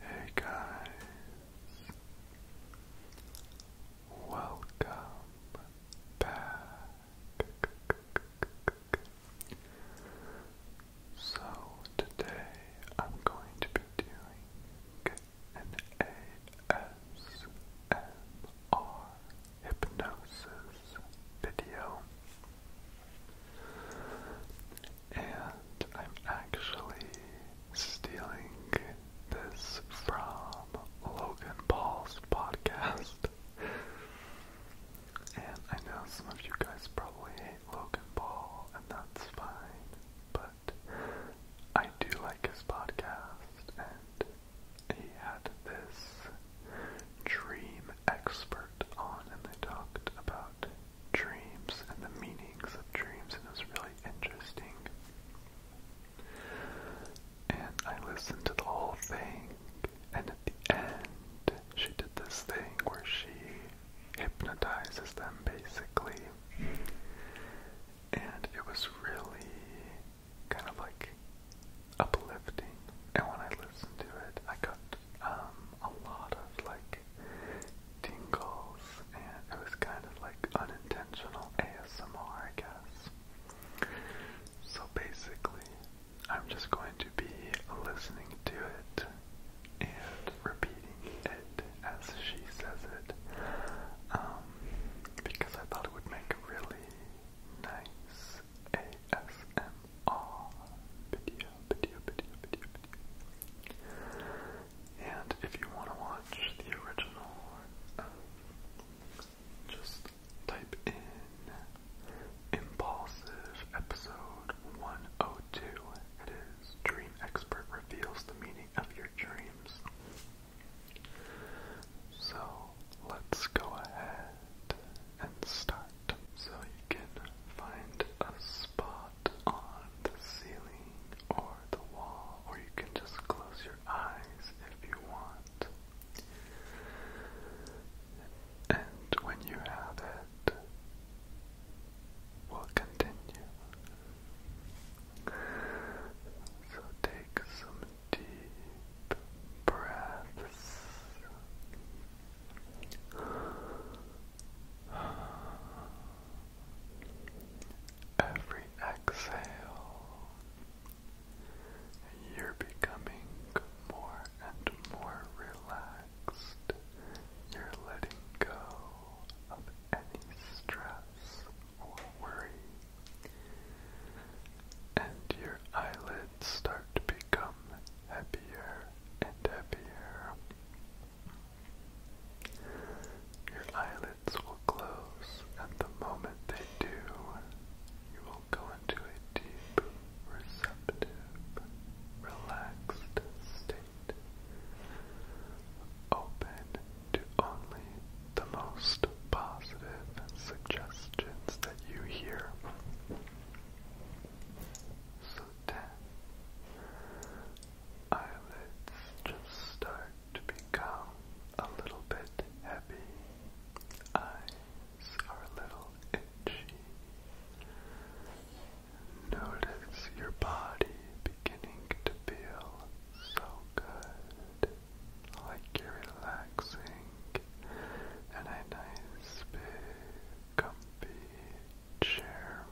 Hey guys, welcome back. So, today I'm going to be doing an ASMR hypnosis video. And I'm actually stealing this from Logan Paul's podcast. And I know some of you guys probably hate Logan Paul, and that's fine, but I do like his podcast, and he had this dream expert on, and they talked about dreams and the meanings of dreams, and it was really interesting. And I listened to the whole thing, and at the end, she did this thing where she hypnotizes them basically. And it was really kind of like uplifting. And when I listened to it, I got um, a lot of like tingles, and it was kind of like unintentional ASMR, I guess. So basically, I'm just going to be listening to it and repeating it as she says it, um, because I thought it would make a really nice ASMR all video, video, video, video, video. And if you want to watch the original, just type in Impulsive Episode 102. It is Dream Expert Reveals the Meaning of Your Dreams. So let's go ahead and start so you can find a spot on the ceiling or the wall, or you can just close your eyes if you want. And when you have it, we'll continue. So take some deep breaths. Every exhale, you're becoming more and more relaxed. You're letting go of any stress or worry. And your eyelids start to become happier and happier. Your eyelids will close, and the moment they do, you will go into a deep, receptive, relaxed state, open to only the most positive suggestions that you hear so ten. Eyelids just start to become a little bit heavy. Eyes are a little itchy. Notice your body beginning to feel so good, like you're relaxing and a nice, big, comfy chair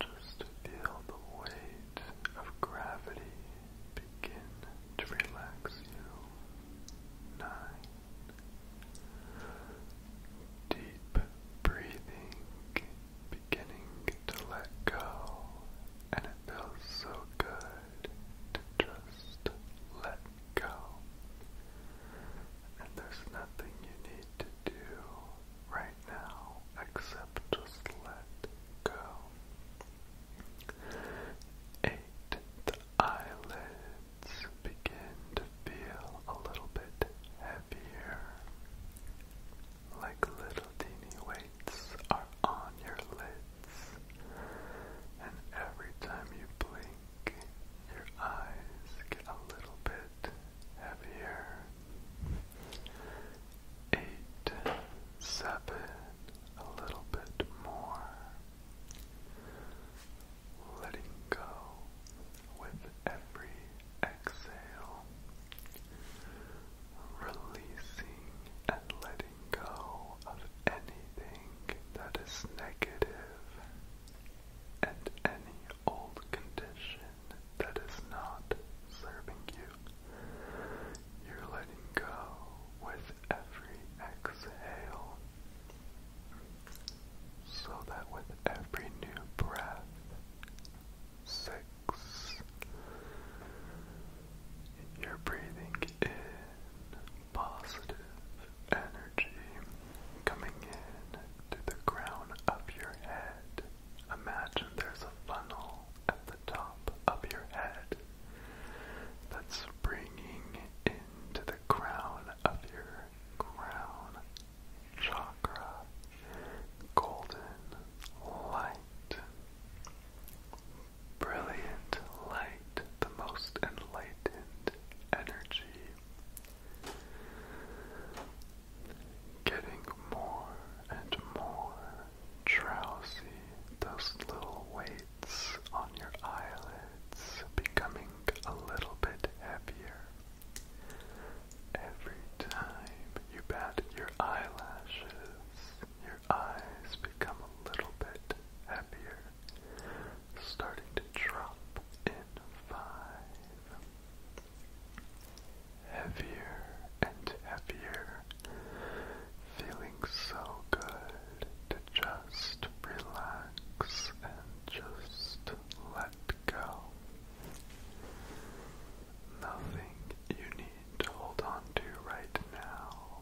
just feel the weight of gravity begin to relax you. Nine. Deep breathing beginning to let go and it feels so good to just let go. And there's nothing you need to do right now except just let go. Eight, the eyelids begin to feel a little bit heavier, like little teeny weights are on your lids. And every time you blink, your eyes get a little bit heavier. Eight, seven, a little bit more. Letting go with every exhale. Releasing and letting go of anything that is negative and any old condition that is not serving you. You're letting go with every exhale, so that with every new breath, six, you're breathing in positive energy coming in to the crown of your head. Imagine there's a funnel at the top of your head that's bringing in to the crown of your crown chakra. Golden light. Brilliant light the most enlightened energy, getting more and more drowsy, those little weights on your eyelids becoming a little bit heavier. Every time you bat your eyelashes, your eyes become a little bit happier starting to drop in five. Heavier and heavier, feeling so good to just relax and just let go. Nothing you need to hold on to right now.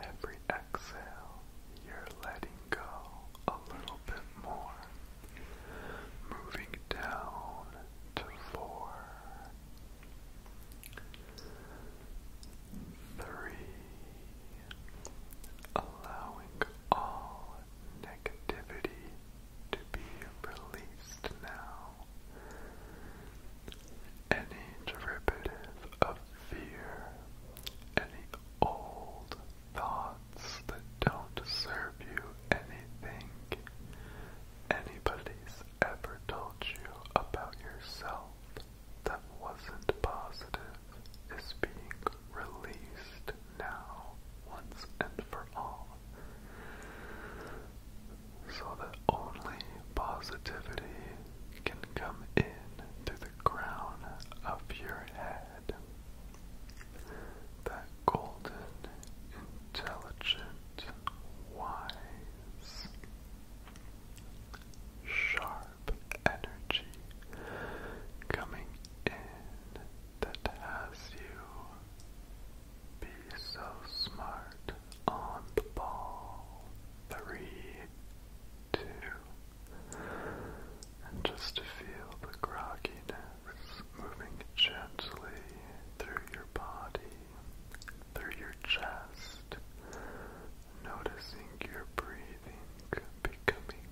Every exhale, you're letting go a little bit more, moving down to four, three, allowing all negativity to be released now. Any derivative of fear, any old thoughts that don't serve you anything anybody's ever told you about yourself that wasn't positive is being released now once and for all. So that only positivity can come in through the crown of your head. That golden, intelligent, wise, sharp energy coming in that has you be so smart on the ball. Three, two, and just to feel the grogginess moving gently through your body, through your chest, noticing your breathing becoming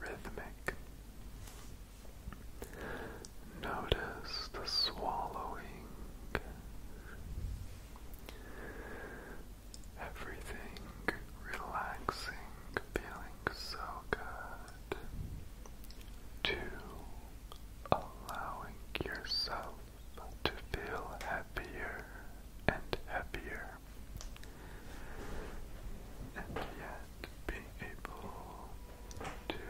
rhythmic. Notice the swallowing. Everything relaxing, feeling so good. To allowing yourself to feel happier and happier, and yet being able to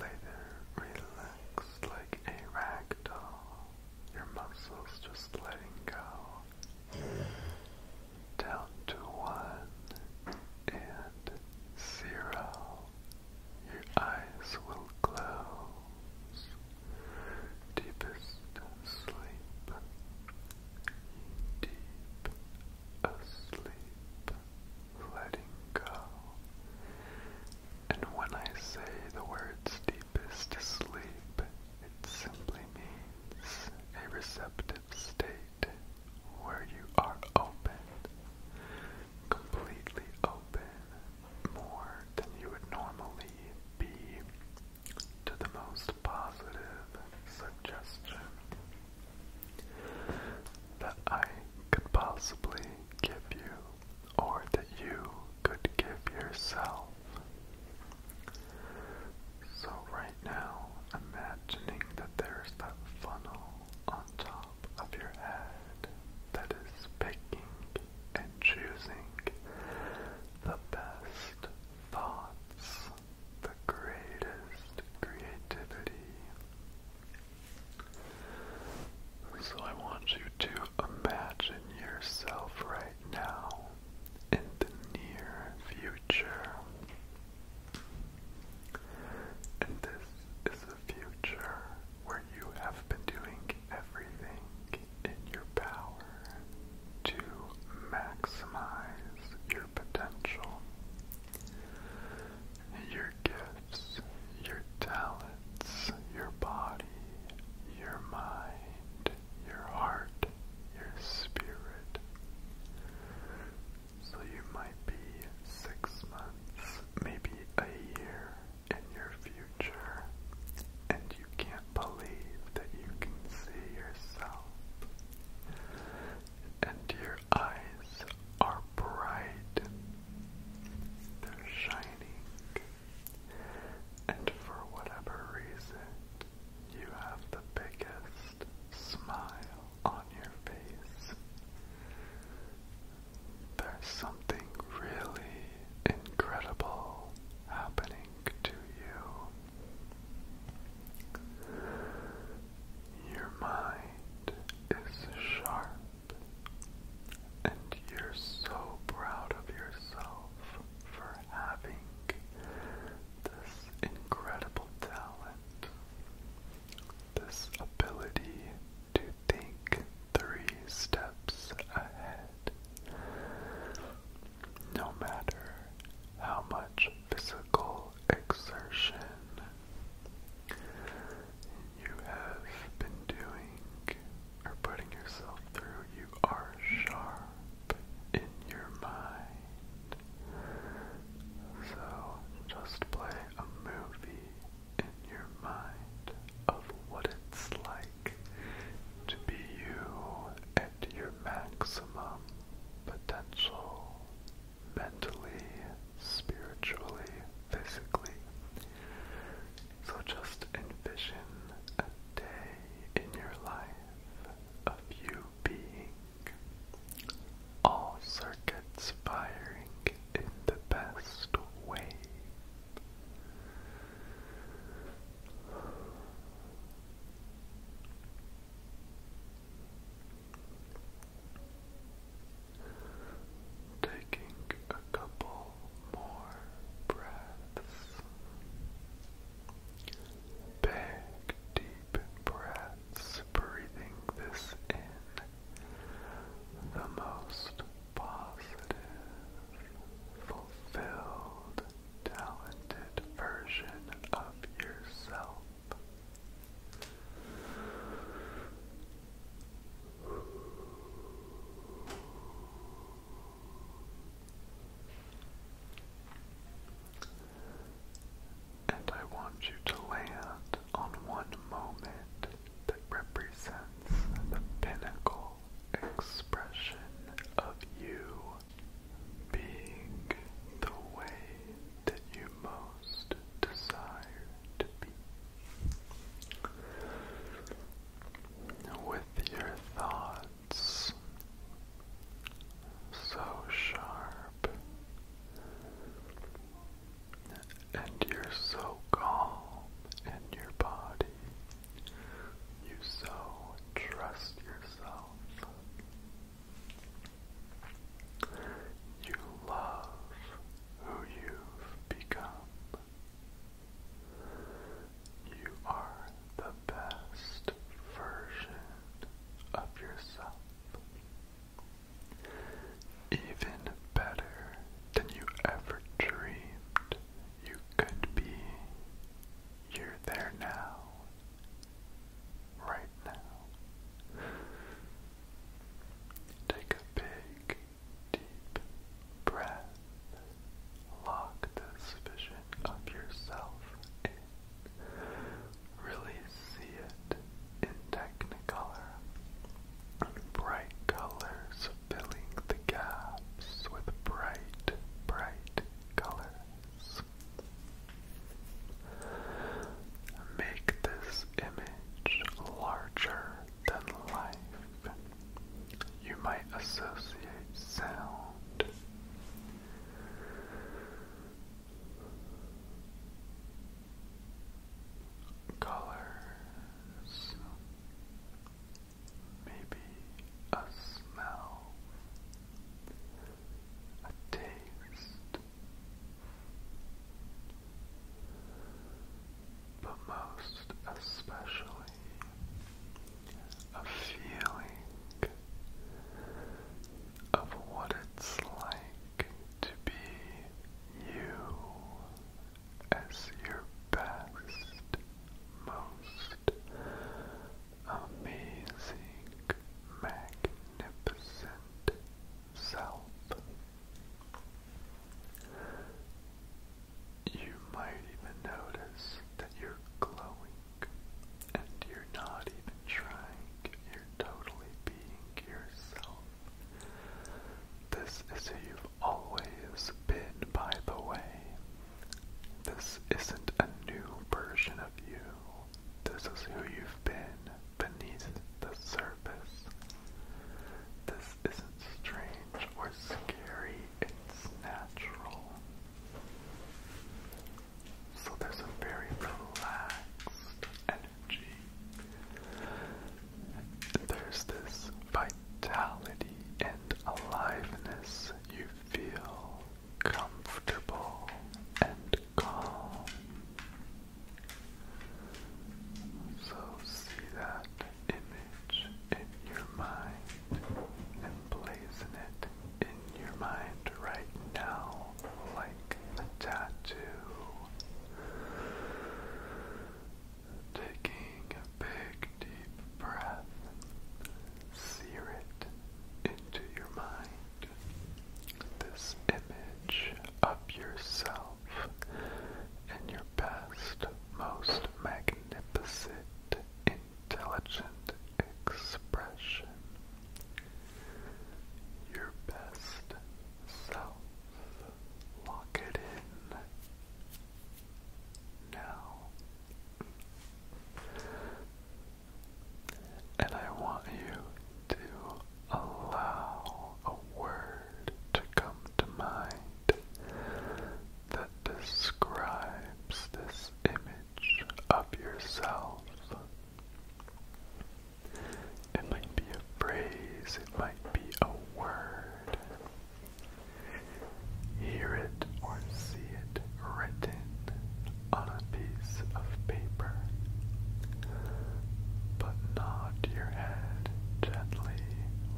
later relax like a rag doll. Your muscles just letting go down to one and zero. Your eyes will glow. Deepest sleep. Deep asleep. Letting go. And when I say the words deep is to sleep. It simply means a receptive state where you are open, completely open, more than you would normally be to the most positive suggestion that I could possibly give you or that you could give yourself. So right now, imagining that there's that funnel on top of your head that is picking and choosing the best thoughts, the greatest creativity. So I want you to imagine yourself right now in the near future. And this is a future where you have been doing everything in your power to maximize your potential. Your gifts, your talents, your body, your mind, your heart, your spirit. So you might be six months, maybe a year in your future, and you can't believe that you can see yourself. And your eyes are bright, they're shining. And for whatever reason, you have the biggest smile on your face. There's something really incredible happening to you. Your mind is sharp, and you're so proud of yourself for having this incredible talent, this ability to think three steps ahead. No matter how much physical exertion you have been doing are putting yourself through, you are sharp in your mind. So just play a movie in your mind of what it's like to be you at your maximum potential mentally, spiritually, physically. So just envision a day in your life of you being, all circuits firing in the best way. Taking a couple more breaths. Big deep breaths, breathing this in the most positive, fulfilled, talented version of yourself. And I want you to land on one moment that represents the pinnacle expression of you being the way that you most desire to be. With your thoughts so sharp, and you're so calm in your body, you so trust yourself. You love who you've become. You are the best version of yourself. Even better than you ever dreamed you could be. You're there now. Right now. Take a big, deep breath Lock the vision of yourself in. Really see it in technicolor. Bright colors filling the gaps with bright, bright colors. Make this image larger than life you might associate sound colors maybe a smell a taste but most especially a feeling of what it's like to be you as your best, most amazing, magnificent self. You might even notice that you're glowing and you're not even trying. You're totally being yourself. This is who you've always been, by the way. This isn't a new version of you. This is who you've been beneath the surface. This isn't strange strange or scary, it's natural. So there's a very relaxed energy. There's this vitality and aliveness. You feel comfortable and calm. So see that image in your mind. And Emblazon it in your mind right now like a tattoo. Taking a big deep breath, sear it into your mind. This image of yourself in your best, most magnificent, intelligent expression, your best self. Lock it in now. And I want you to allow a word to come to mind that describes this image of yourself. It might be a phrase, it might be a word. Hear it or see it written on a piece of paper, but nod your head gently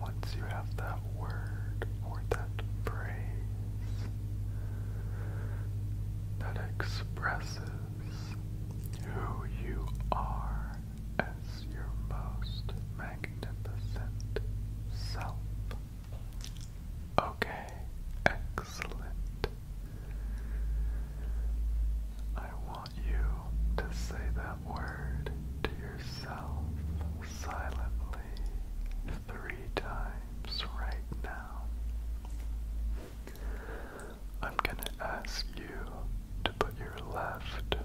once you have the that word or that phrase that expresses who you are as your most magnificent self. Okay, excellent. I want you to say that word to yourself silently three times right now. I'm going to ask you to put your left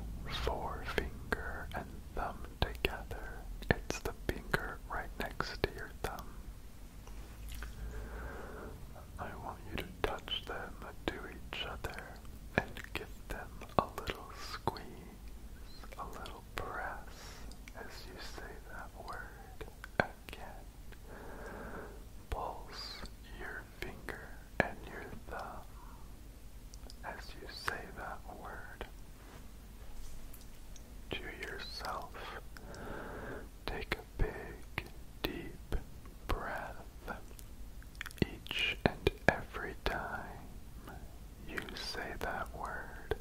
forefinger and thumb together. It's the finger right next to your thumb. I want you to touch them to each other and give them a little squeeze, a little you press as you say that word again. Pulse your finger and your thumb as you say that word. To yourself, take a big, deep breath each and every time you say that word,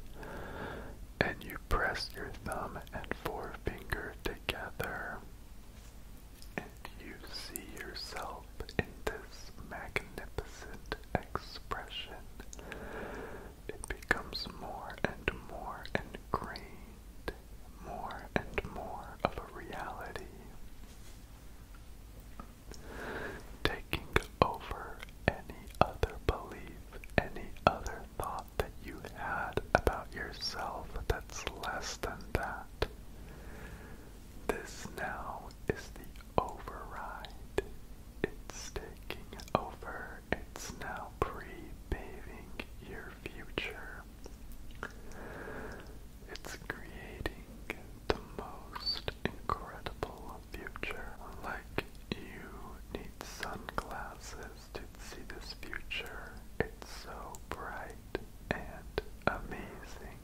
and you press your thumb and forefinger together, and you see yourself in this magnificent expression. It becomes more and more ingrained, more and more of a reality taking over any other belief, any other thought that you had about yourself that's less than that. This now is the override. It's taking over. It's now pre-paving your future. It's creating the most incredible future. Like you need sunglasses to see this future. It's so bright and amazing.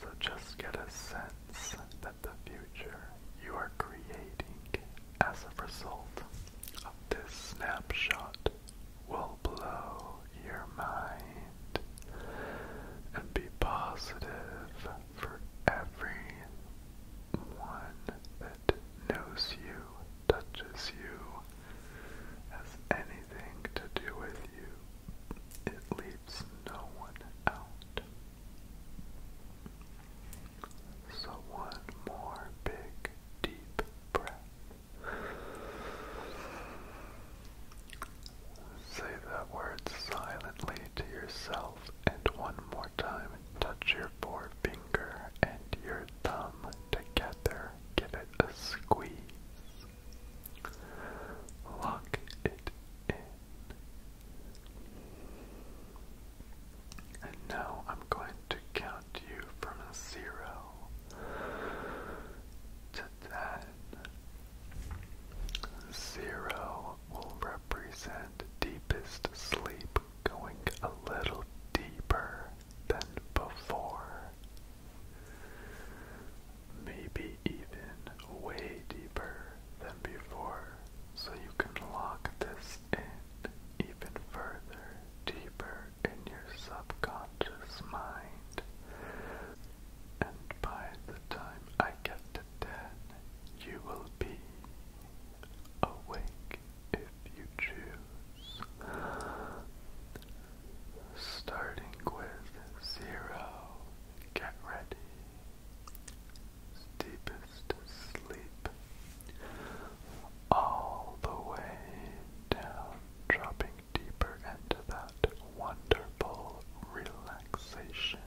So just get a sense that the future you are creating as a result of this snapshot will blow your mind and be positive for every one that knows you, touches you, has anything to do with you. It leaves no one out. So one more big, deep breath. Say that word silently to yourself and one more time touch your forefinger and your thumb together. Give it a squeeze. Lock it in. And now I'm going to count you from zero to ten. Zero will represent deepest sleep going a little deeper than before. Maybe even way deeper than before, so you can lock this in even further, deeper in your subconscious mind. And by the time I get to death, you will be awake if you choose. Starting with zero, get ready. Deepest sleep, all the way down, dropping deeper into that wonderful relaxation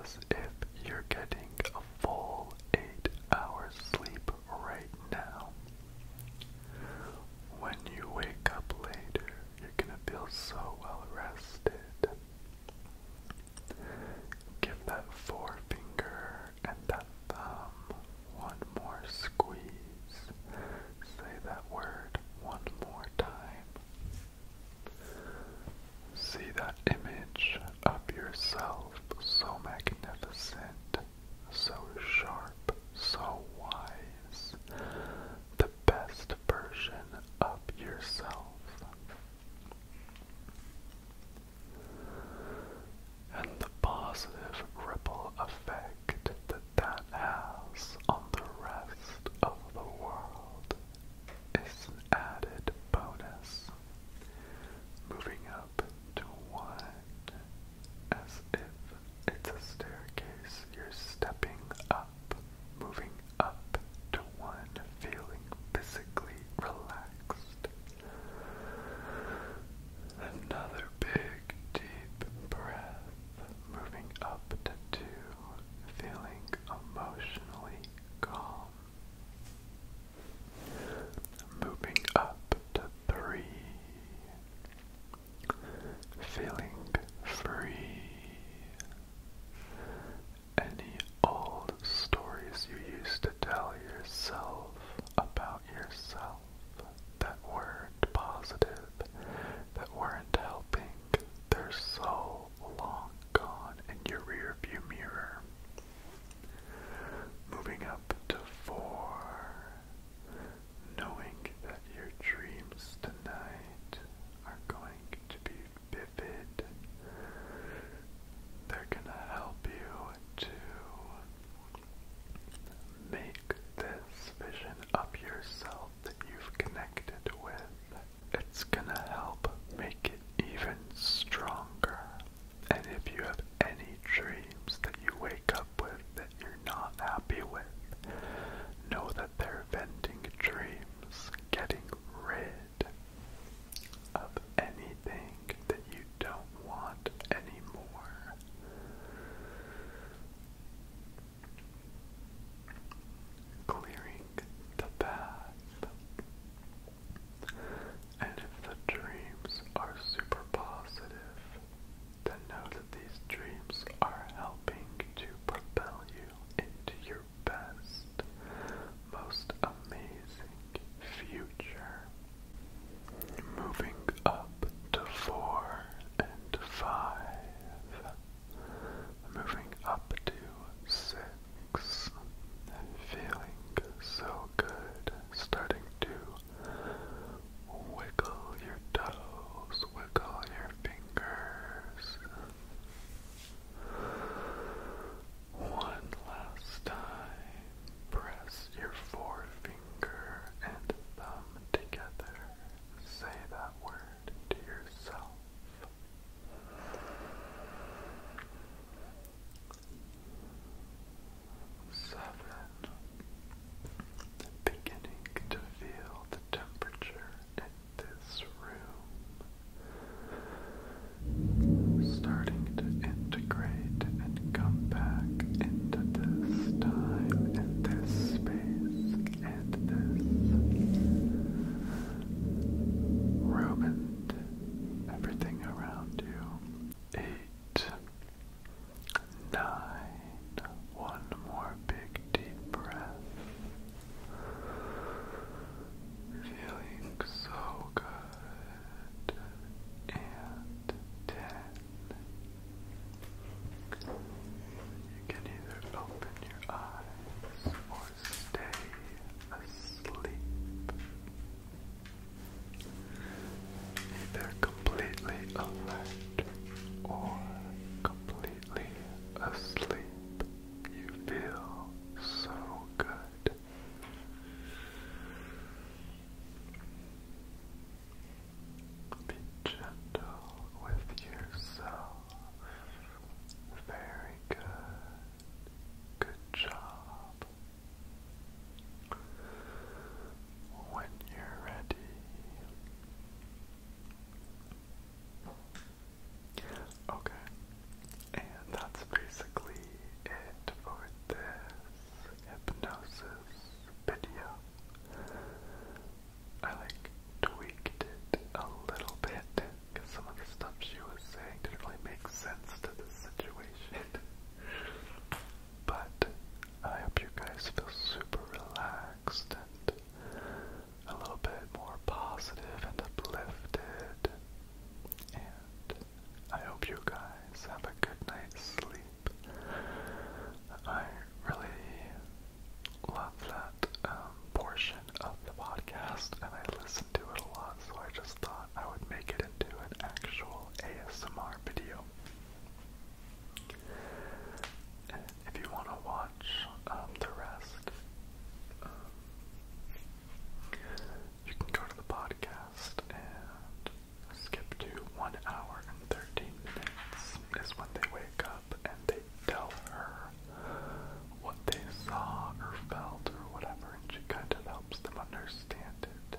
as if you're getting a full eight hours sleep right now. When you wake up later, you're gonna feel so well rested. Give that forefinger and that thumb one more squeeze. Say that word one more time. See that image of yourself, so magnificent, so sharp, so wise, the best version of yourself. And the positive ripple effect that that has on the rest of the world is added bonus, moving up to one as if it's a staircase. You're stepping up, moving up to one, feeling physically relaxed. Another big deep breath, moving up to two, feeling emotionally calm. Moving up to three, feeling free. Any old stories you used to tell yourself about yourself that weren't positive, that weren't helping, they're so long gone in your rearview mirror. Moving up to four, knowing that your dreams tonight are going to be vivid. They're gonna help you to make this vision of yourself that you've connected with it's gonna help make it even stronger. And if you have any dreams that you wake up with that you're not happy with, know that they're venting dreams, getting rid of anything that you don't want anymore clearing the path. And if the dreams are super positive, then know that these dreams are helping to propel you into your best, most amazing future. Moving up to four and five. Moving up to six, feeling so good, starting to wiggle your toes, wiggle your fingers. One last time, press your forefinger and thumb together. Say that word to yourself. Seven. Beginning to feel the temperature in this room. Starting to integrate and come back into this time and this space and this room and everything around you. Eight, nine, one more big deep breath. Feeling so good. And ten. You can either open your eyes stay asleep. Either completely alert or completely asleep, you feel so good. Be gentle with yourself. Very good. Good job. When you're ready. Okay. And that's basically it for this hypnosis video. I like tweaked it a little bit because some of the stuff she was saying didn't really make sense to the situation. but I hope you guys feel super relaxed and a little bit more positive and uplifted. And I hope you guys have a good night's sleep. I really love that um, portion of the podcast, and I listen to it a lot, so I just thought I would make it into an actual ASMR video. if you want to watch um, the rest, um, you can go to the podcast and skip to 1 hour and 13 minutes is when they wake up and they tell her what they saw or felt or whatever, and she kind of helps them understand it.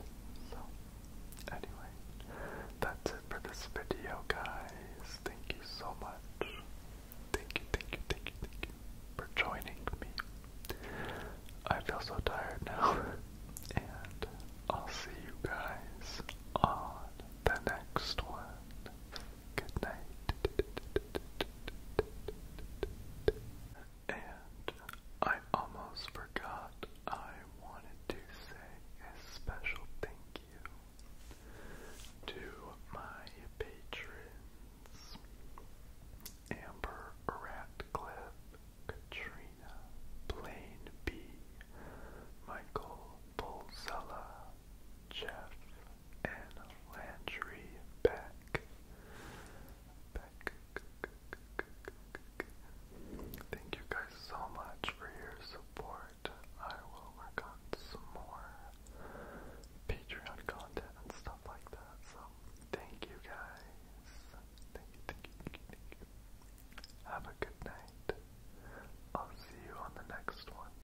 So, anyway, that's it for this video, guys. Thank you so much. Thank you, thank you, thank you, thank you for joining me. I feel so tired now, and I'll see you guys on the next one. Good night. And I almost forgot I wanted to say a special thank you to my patrons Amber Ratcliffe, Katrina, Blaine B, Michael Pulsella, Jeff and Landry Beck. Beck. Thank you guys so much for your support. I will work on some more Patreon content and stuff like that. So thank you guys. Have a good night. I'll see you on the next one.